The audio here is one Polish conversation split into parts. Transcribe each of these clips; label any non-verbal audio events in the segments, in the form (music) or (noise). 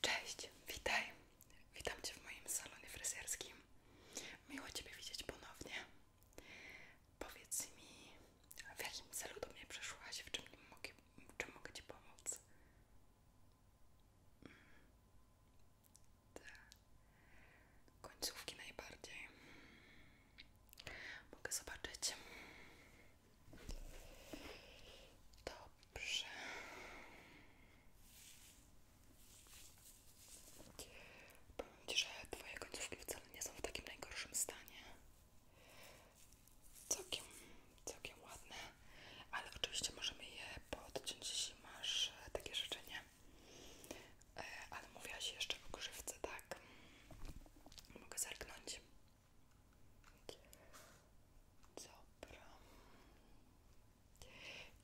Cześć, witaj. Witam Cię w moim salonie fryzjerskim. Miło Ciebie widzieć ponownie. Powiedz mi, w jakim celu do mnie przyszłaś, w czym, mogę, Ci pomóc? Mm. Te tak. końcówki najbardziej. Mogę zobaczyć. Dobrze. Powiem Ci, że Twoje końcówki wcale nie są w takim najgorszym stanie. Całkiem, całkiem ładne, ale oczywiście możemy je podciąć, jeśli masz e, takie życzenie. E, ale się jeszcze o grzywce, tak? Mogę zerknąć. Dobra.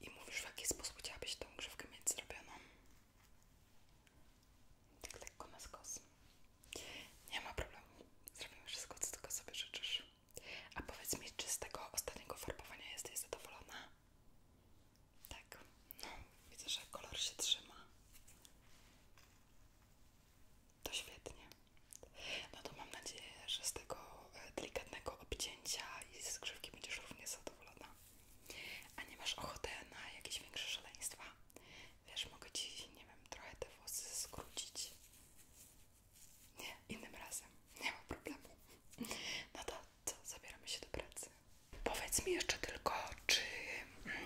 I mówisz, w jaki sposób chciałabyś tą grzywkę mieć zrobioną? Tak tak na skos. Nie ma problemu. Zrobimy wszystko, co tylko sobie życzysz. A powiedz mi, czy z tego ostatniego farbowania jesteś zadowolona? Tak. No, widzę, że kolor się trzyma to świetnie. No to mam nadzieję, że z tego e, delikatnego obcięcia i skrzywki będziesz równie zadowolona. A nie masz ochoty na jakieś większe szaleństwa? Wiesz, mogę ci, nie wiem, trochę te włosy skrócić. Nie, innym razem. Nie ma problemu. No to zabieramy się do pracy. Powiedz mi jeszcze tylko, czy mm,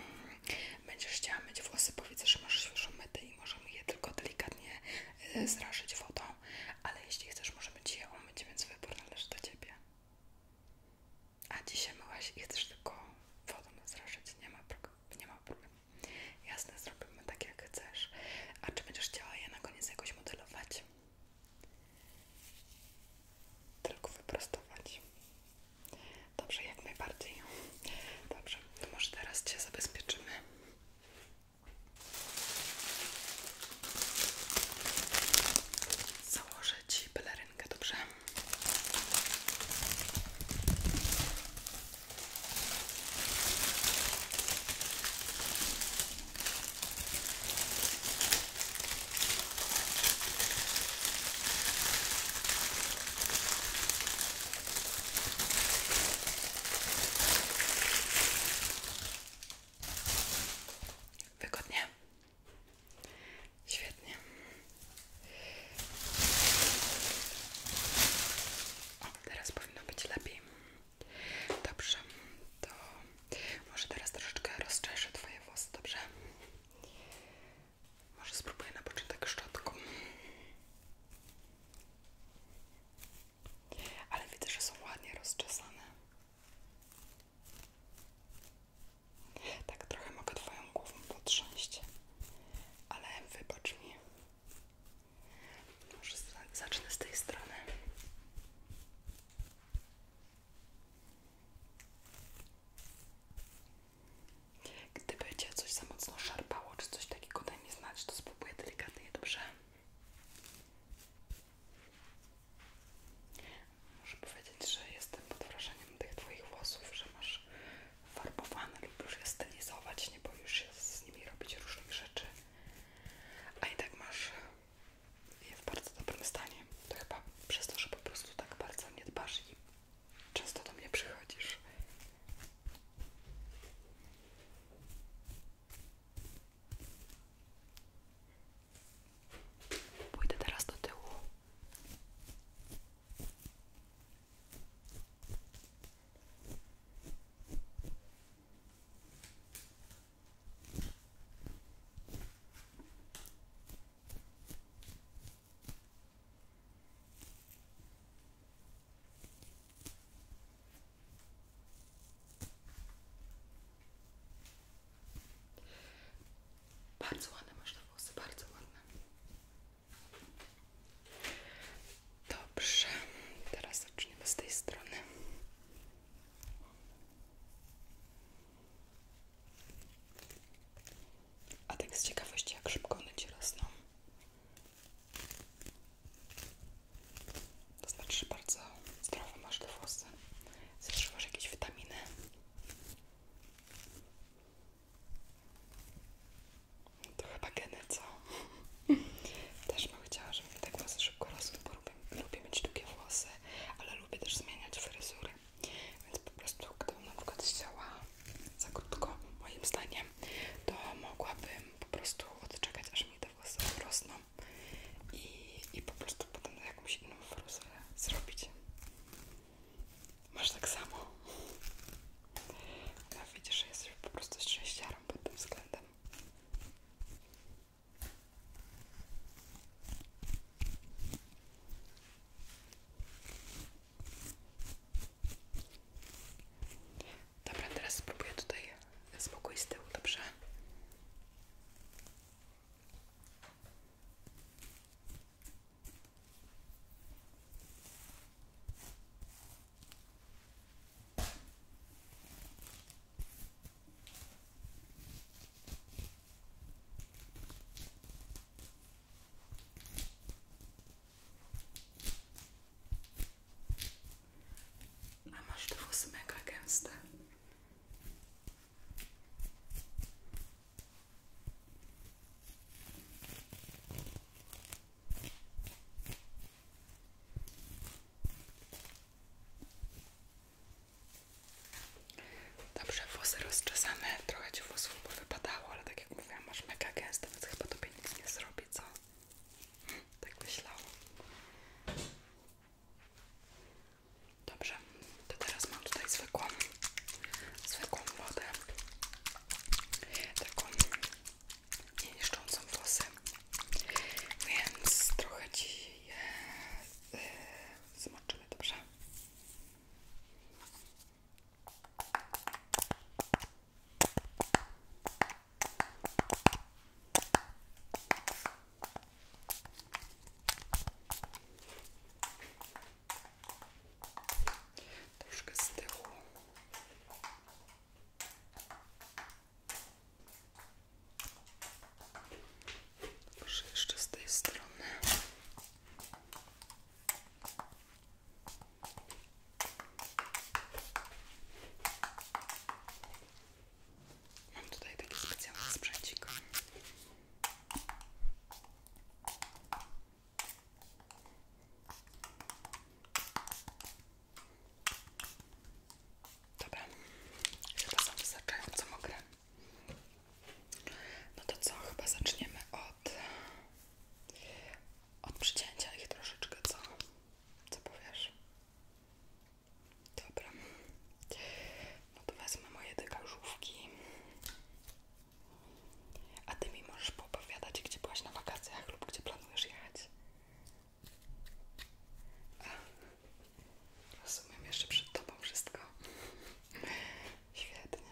będziesz chciała mieć włosy, bo widzę, że masz świeżą metę czyli możemy je tylko delikatnie e, zrażyć wodą, ale jeśli chcesz, możemy cię je umyć, więc wybór należy do Ciebie. A dzisiaj myłaś i chcesz tylko wodą zrażyć, nie ma, nie ma problemu. Jasne, zrobimy tak jak chcesz. A czy będziesz chciała je na koniec jakoś modelować? Tylko wyprostować. Dobrze, jak najbardziej. Dobrze, to może teraz Cię zabezpieczymy Założę Ci pelerynkę, dobrze? Wygodnie. Świetnie. O, teraz powinno być lepiej. Dobrze, to może teraz troszeczkę rozczeszę Twoje włosy, dobrze? Może spróbuję na początek szczotką. Ale widzę, że są ładnie rozczesane. Tak trochę mogę Twoją głową potrząść, ale wybacz mi. Może zacznę z tej strony. Gdyby Cię coś za mocno szarpało, czy coś takiego, to daj mi znać, to spróbuję delikatnie, dobrze? Muszę powiedzieć, że jestem pod wrażeniem tych Twoich włosów, że masz farbowane, lubisz je stylizować, nie boisz się z nimi robić różnych rzeczy, a i tak masz je w bardzo dobrym stanie. To chyba przez to, że po prostu tak bardzo mnie dbasz i często do mnie przychodzisz. Pójdę teraz do bardzo ładne masz te włosy, bardzo ładne. Dobrze, teraz zaczniemy z tej strony. A tak z ciekawości, jak szybko one ci to znaczy, że bardzo zdrowe masz te włosy. Zażywasz jakieś witaminy. To chyba geny, co? (laughs) też bym chciała, żeby mi te tak włosy szybko rosły, bo lubię, lubię mieć długie włosy, ale lubię też zmieniać fryzury. Więc po prostu, gdybym na przykład chciała za krótko, moim zdaniem, to mogłabym po prostu odczekać, aż mi te włosy rosną i, po prostu potem jakąś inną fruzurę zrobić. Masz tak samo. No widzisz, że jesteś po prostu szczęściarą pod tym względem. Dobra, teraz spróbuję tutaj spokój z dobrze? A masz te włosy mega gęste. Dobrze, włosy rozczesane, trochę ci włosów wypadało, ale tak jak mówiłam, masz mega gęste, więc chyba tobie nic nie zrobi, tak myślałam. Dobrze, to teraz mam tutaj zwykłą, zwykłą wodę, taką nie niszczącą włosy, więc trochę Ci y, zmoczymy, dobrze? Troszkę z tyłu. Proszę jeszcze z tej strony. Mam tutaj taki specjalny Dobra, chyba są wystarczająco mokre. No to co, chyba zaczniemy od, od przycięcia ich troszeczkę, co? Co powiesz? Dobra, no to wezmę moje dekażówki. A ty mi możesz poopowiadać, gdzie byłaś na wakacjach lub gdzie planujesz jechać. A, rozumiem, jeszcze przed tobą wszystko. Świetnie.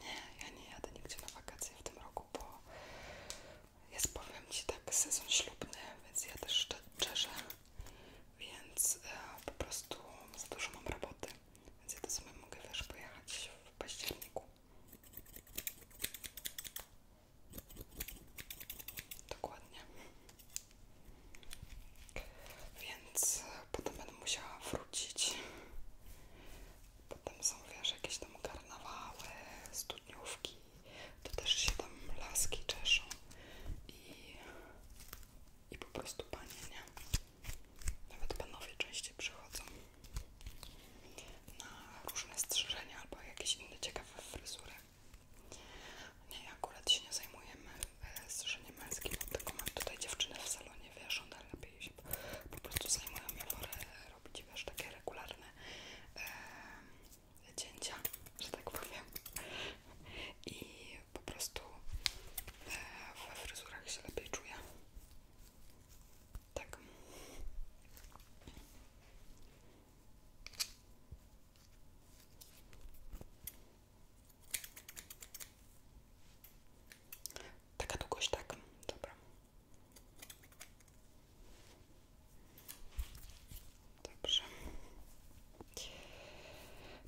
Nie, ja nie jadę nigdzie na wakacje w tym roku, bo jest powiem Ci tak sezon ślubny, więc ja też czeszę, więc e, po prostu za dużo mam roboty, więc ja to sobie mogę też w październiku. Dokładnie. Więc e, potem będę musiała wrócić. Potem są wiesz jakieś tam karnawały, studniówki, to też się tam laski czeszą i, i po prostu panie, nie? Nawet panowie częściej przychodzą na różne strzyżenia albo jakieś inne ciekawe fryzury. Nie, akurat się nie zajmujemy e, strzyżeniem męskim, tylko mam tutaj dziewczynę w salonie, wiesz, one lepiej się po prostu zajmują, ja wolę robić, wiesz, takie regularne e, cięcia, że tak powiem. I po prostu e, we fryzurach się lepiej czuję. Tak. Taka długość, tak? Dobra. Dobrze.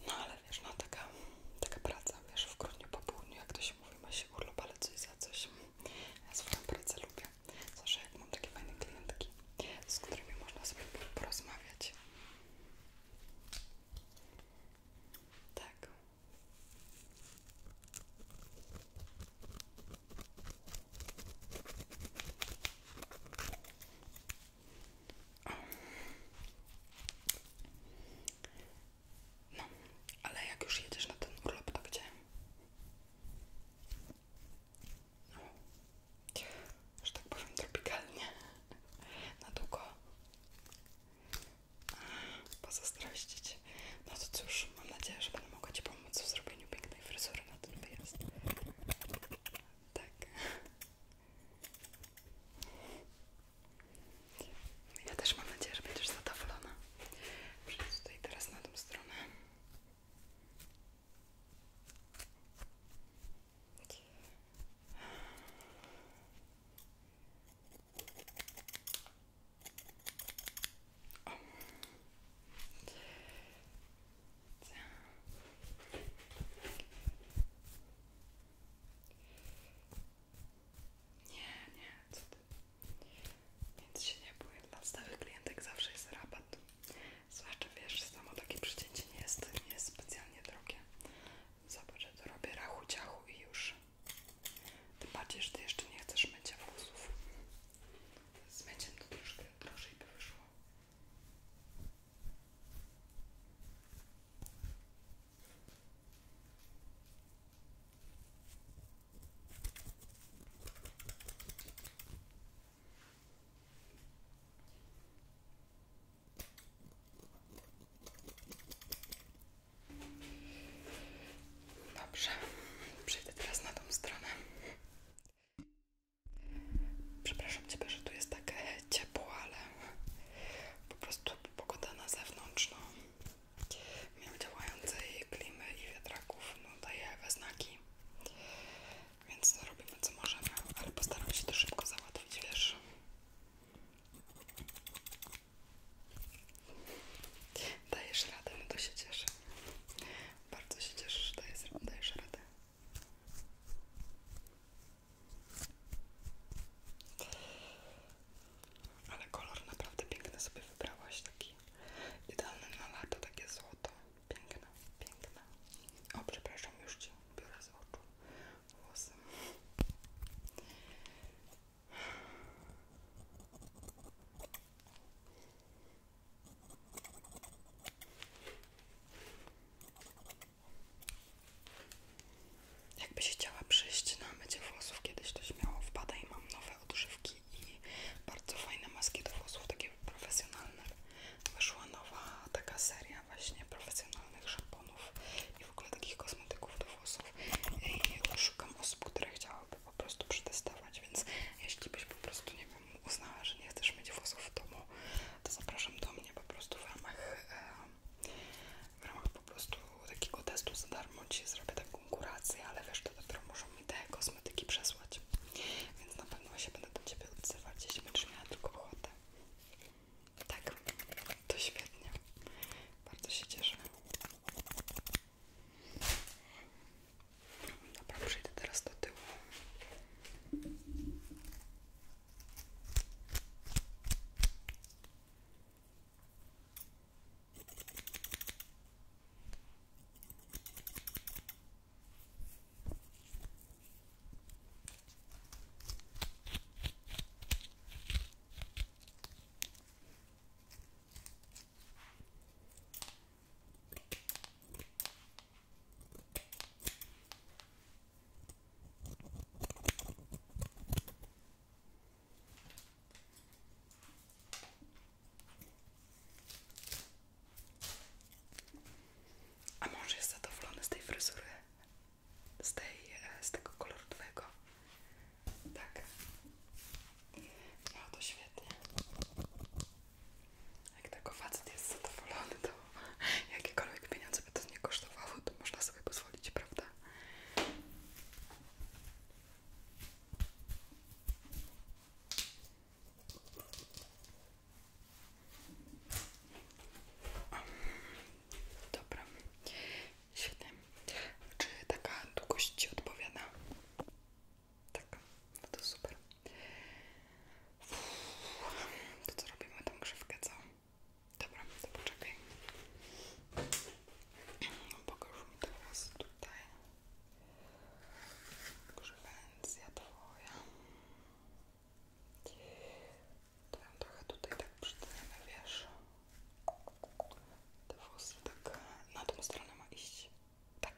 No ale wiesz, no taka, taka praca, wiesz, w grudniu po południu, jak to się mówi, ma się urlop, ale coś za coś. Ja swoją pracę lubię. Zawsze jak mam takie fajne klientki, z którymi można sobie porozmawiać. Tak. No, ale jak już jedziesz na ten urlop, to gdzie? No, że tak powiem tropikalnie, (laughs) na długo pozazdrościć. No to cóż, mam nadzieję, że będę mogła Ci pomóc. Co w zrobieniu pięknej fryzury na ten wyjazd. Tak. Ja też mam nadzieję, że będziesz zadowolona. Przejdź tutaj teraz na tą stronę. O. Nie, nie, co Więc się nie bój, dla stałych klientek zawsze jest rabat. Zwłaszcza wiesz, samo takie przycięcie nie jest, nie jest specjalnie drogie. Zobacz, że to robię rachu ciachu i już. Tym bardziej, że ty jeszcze nie chcesz mycia włosów. Z meciem to troszkę drożej by Dobrze, przejdę teraz na tą stronę. Przepraszam Ciebie, że tu jest takie ciepło, ale po prostu pogoda na zewnątrz, no, mimo działającej klimy i wiatraków, no, daje we znaki, więc no, robimy co możemy, ale postaram się to szybko załatwić, wiesz. Dajesz radę, no to się cieszę. Bardzo się cieszę, że dajesz, dajesz radę. Ale kolor naprawdę piękny sobie wybrałaś, taki idealny na lato, takie złoto. Piękne, piękne. O, przepraszam, już Ci biorę z oczu włosy. Jakby się chciała przyjść na mycie włosów kiedyś, to śmiało wpadaj. Mam nowe odżywki i bardzo fajne maski do włosów, takie profesjonalne. Wyszła nowa taka seria właśnie profesjonalnych szamponów i w ogóle takich kosmetyków do włosów. I szukam osób, które chciałaby po prostu przetestować, więc jeśli byś po prostu, nie wiem, uznała, że nie chcesz mieć włosów w domu, to zapraszam do mnie po prostu w ramach, e, w ramach po prostu takiego testu za darmo Ci zrobię taką kurację, ale wiesz, to dopiero muszą mi te kosmetyki przesłać. Więc na pewno się będę do Ciebie odzywać, jeśli będziesz miała tylko ochotę. Tak, to świetnie. Bardzo się cieszę. Dobra, przejdę teraz do tyłu. A mąż jest zadowolony z tej fryzury, z, tej, e, z tego koloru twojego. Tak. No świetnie. Jak tego facet jest zadowolony, to jakiekolwiek pieniądze by to nie kosztowało, to można sobie pozwolić, prawda? Dobra, świetnie. Czy taka długość Ci odpowiada? Tak, no to super. To co robimy tą grzywkę, co? Dobra, to poczekaj. No, Pokaż mi teraz tutaj grzywencja twoja. To ją trochę tutaj tak przytniemy, wiesz? Te włosy tak na tą stronę ma iść. Tak.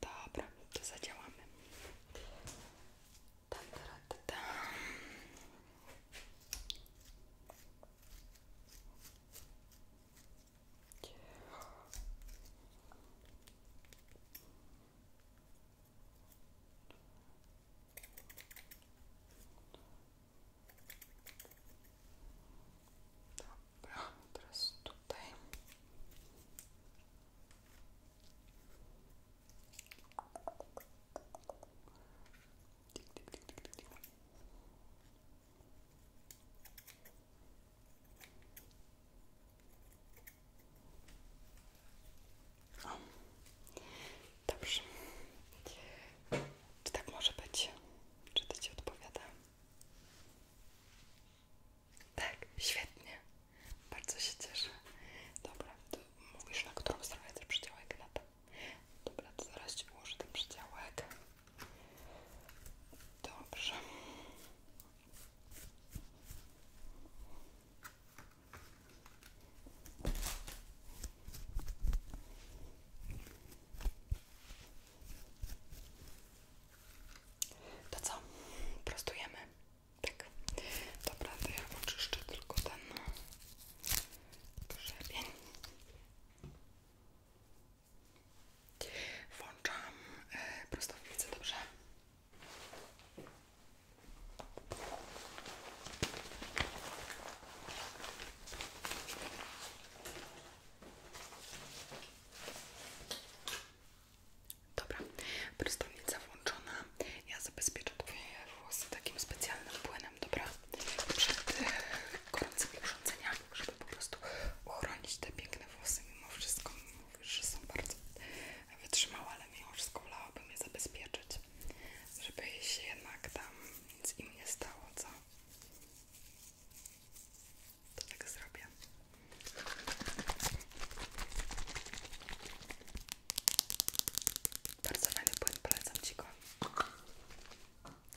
Dobra, to zadziałamy. Dobra, teraz tutaj. O. Dobrze. tak może być? Czy to ci odpowiada? Tak, świetnie. Bardzo się cieszę. Dobra, to mówisz, na którą stronę ten przydziałek na Dobra, zaraz ułożę ten przydziałek. Dobrze. To co? Prostujemy. Tak. Dobra, to ja oczyszczę tylko ten grzebień. Włączam e, prostownicę, dobrze? Dobra, prostownica włączona. Ja zabezpieczę Twoje włosy takim specjalnym płynem, dobra? Przed e, gorącymi urządzeniami, żeby po prostu uchronić te piękne włosy. Mimo wszystko, mówisz, że są bardzo wytrzymałe, ale mimo wszystko wolałabym je zabezpieczyć, żeby się jednak tam nic im nie stało, co? To tak zrobię. Bardzo fajny płyn, polecam Ci go.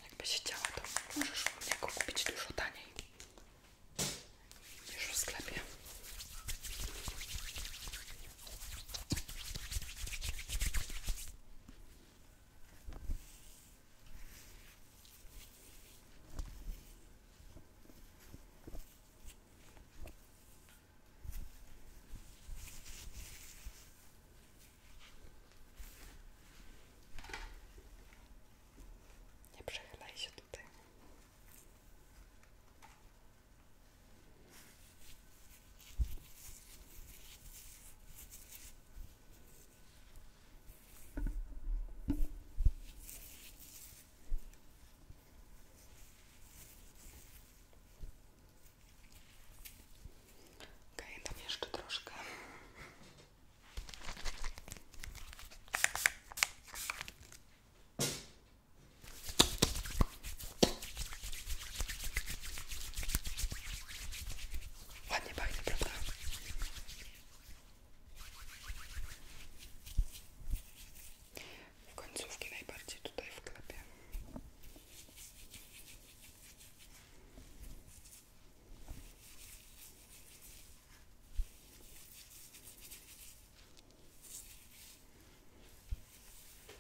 Jakbyś chciała, to możesz u mnie go kupić dużo taniej niż w sklepie. Nie przechylaj się tutaj. Ok, tam jeszcze troszkę. Ładnie pachnie, prawda? W końcówki najbardziej tutaj w klepie.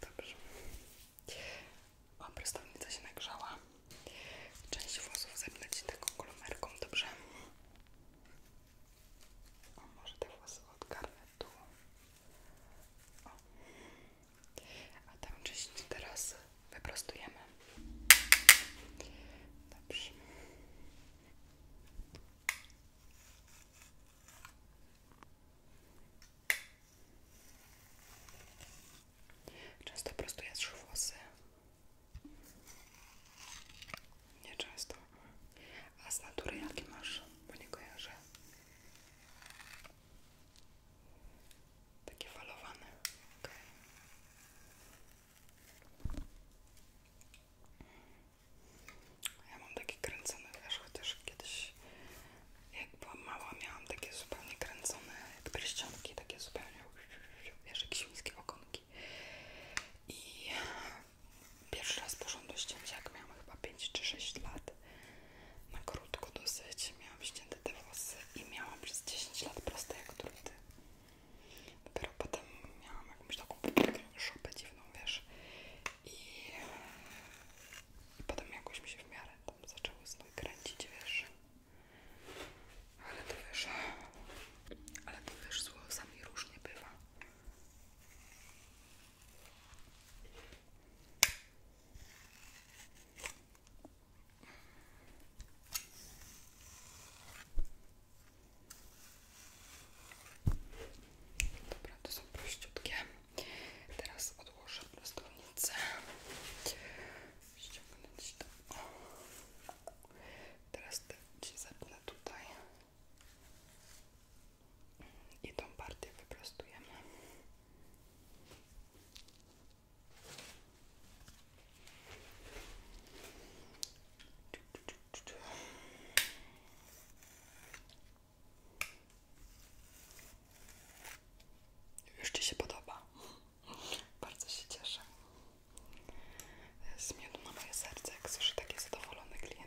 Dobrze. O, prostownica się nagrzała. Część włosów zepnę ci taką kolomerką, dobrze? O, może te włosy odgarnę tu. A tam część teraz wyprostujemy. Dobrze. Często prostuję włosy nieczęsto. A z natury jakie masz? Bo nie kojarzę. Takie falowane. Okay. Ja mam takie kręcone, wiesz, chociaż kiedyś jak byłam mała miałam takie zupełnie kręcone, jak pierścionki, takie zupełnie, wiesz, jak okonki. I pierwszy raz porządnie ścięciak miałam chyba 5 czy 6 lat. Na krótko dosyć miałam ścięte te włosy i miałam przez 10 lat proste jak druty. Dopiero potem miałam jakąś taką szopę dziwną, wiesz. I, potem jakoś mi się w miarę tam zaczęło znów kręcić, wiesz. Ale to wiesz, ale to wiesz, z włosami różnie bywa. Dobra, to są prościutkie. Teraz odłożę prostownicę. Ściągnąć to. Teraz te ci zapnę tutaj i tą partię wyprostujemy. Już Ci się podoba. Bardzo się cieszę. Zmiodł moje serce, jak słyszę takie zadowolone klienty.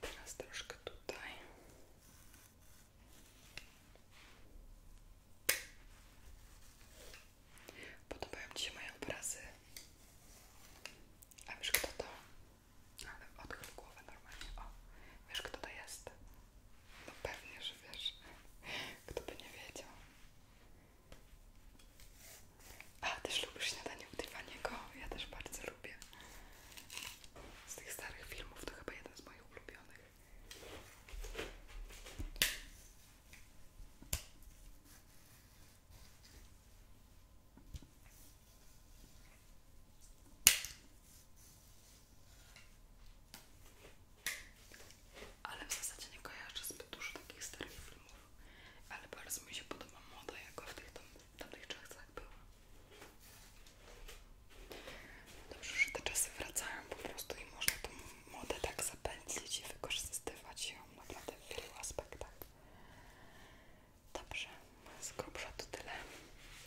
Teraz troszkę tutaj. Podobają Ci się moje obrazy? A wiesz kto to? Ale odchyl głowę normalnie. O, wiesz kto to jest? No pewnie, że wiesz. Kto by nie wiedział. A, też lubisz śniadanie u Tiffany'ego? Ja też bardzo lubię. Z tych starych filmów to chyba jeden z moich ulubionych. Ale w zasadzie nie kojarzę zbyt dużo takich starych filmów, ale bardzo mi się podoba moda, jako w tych tam w tamtych czasach było. Dobrze, że te czasy wracają po prostu i można tą modę tak zapędzić i wykorzystywać ją naprawdę w wielu aspektach. Dobrze, z grubsza to tyle.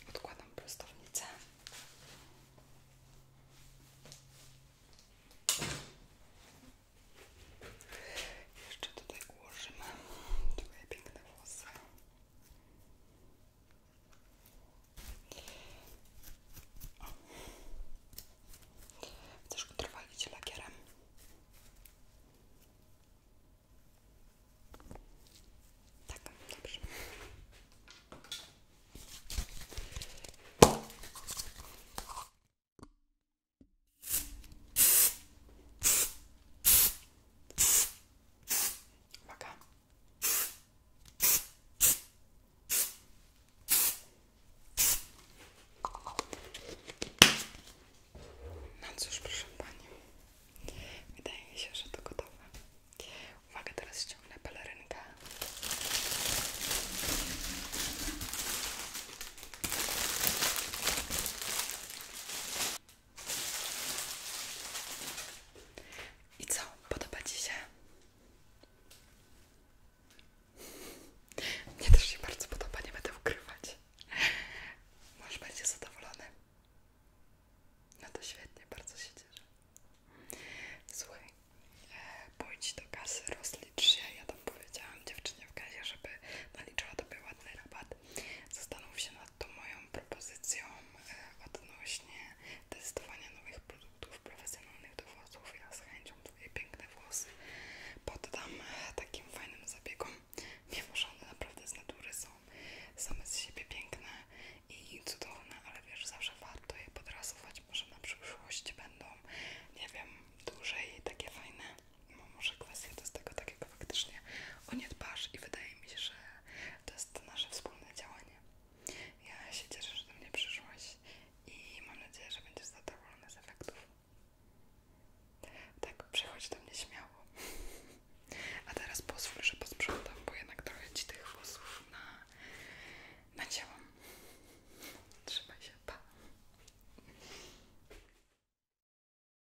Odkładam prostownicę. Jeszcze tutaj ułożymy twoje piękne włosy o. Chcesz go trwalić lakierem? Tak, dobrze Uwaga. No cóż, proszę Pani, wydaje mi się, że to gotowe. Uwaga, teraz ściągnę pelerynkę. I co? Podoba Ci się? Mnie też się bardzo podoba, nie będę ukrywać. Może będzie zadowolony. No to świetnie, bardzo się cieszę. Słuchaj, e, pójdź do kasy, rozlicz się. Ja tam powiedziałam dziewczynie w kasie, żeby naliczyła tobie ładny rabat. Zastanów się na to moją propozycją e, odnośnie testowania nowych produktów profesjonalnych do włosów. Ja z chęcią Twoje piękne włosy poddam e, takim fajnym zabiegom, mimo że naprawdę z natury są same z siebie piękne i cudowne, ale wiesz, zawsze warto je podrasować, może na przyszłość będą, nie wiem, dłużej takie fajne no może kwestia to jest tego takiego faktycznie o nie dbasz i wydaje mi się, że to jest nasze wspólne działanie. Ja się cieszę, że do mnie przyszłaś i mam nadzieję, że będziesz zadowolona z efektów. Tak, przychodź do mnie śmiało. A teraz pozwól, że posprzątam, bo jednak trochę ci tych włosów na, nacięłam. Trzymaj się, pa!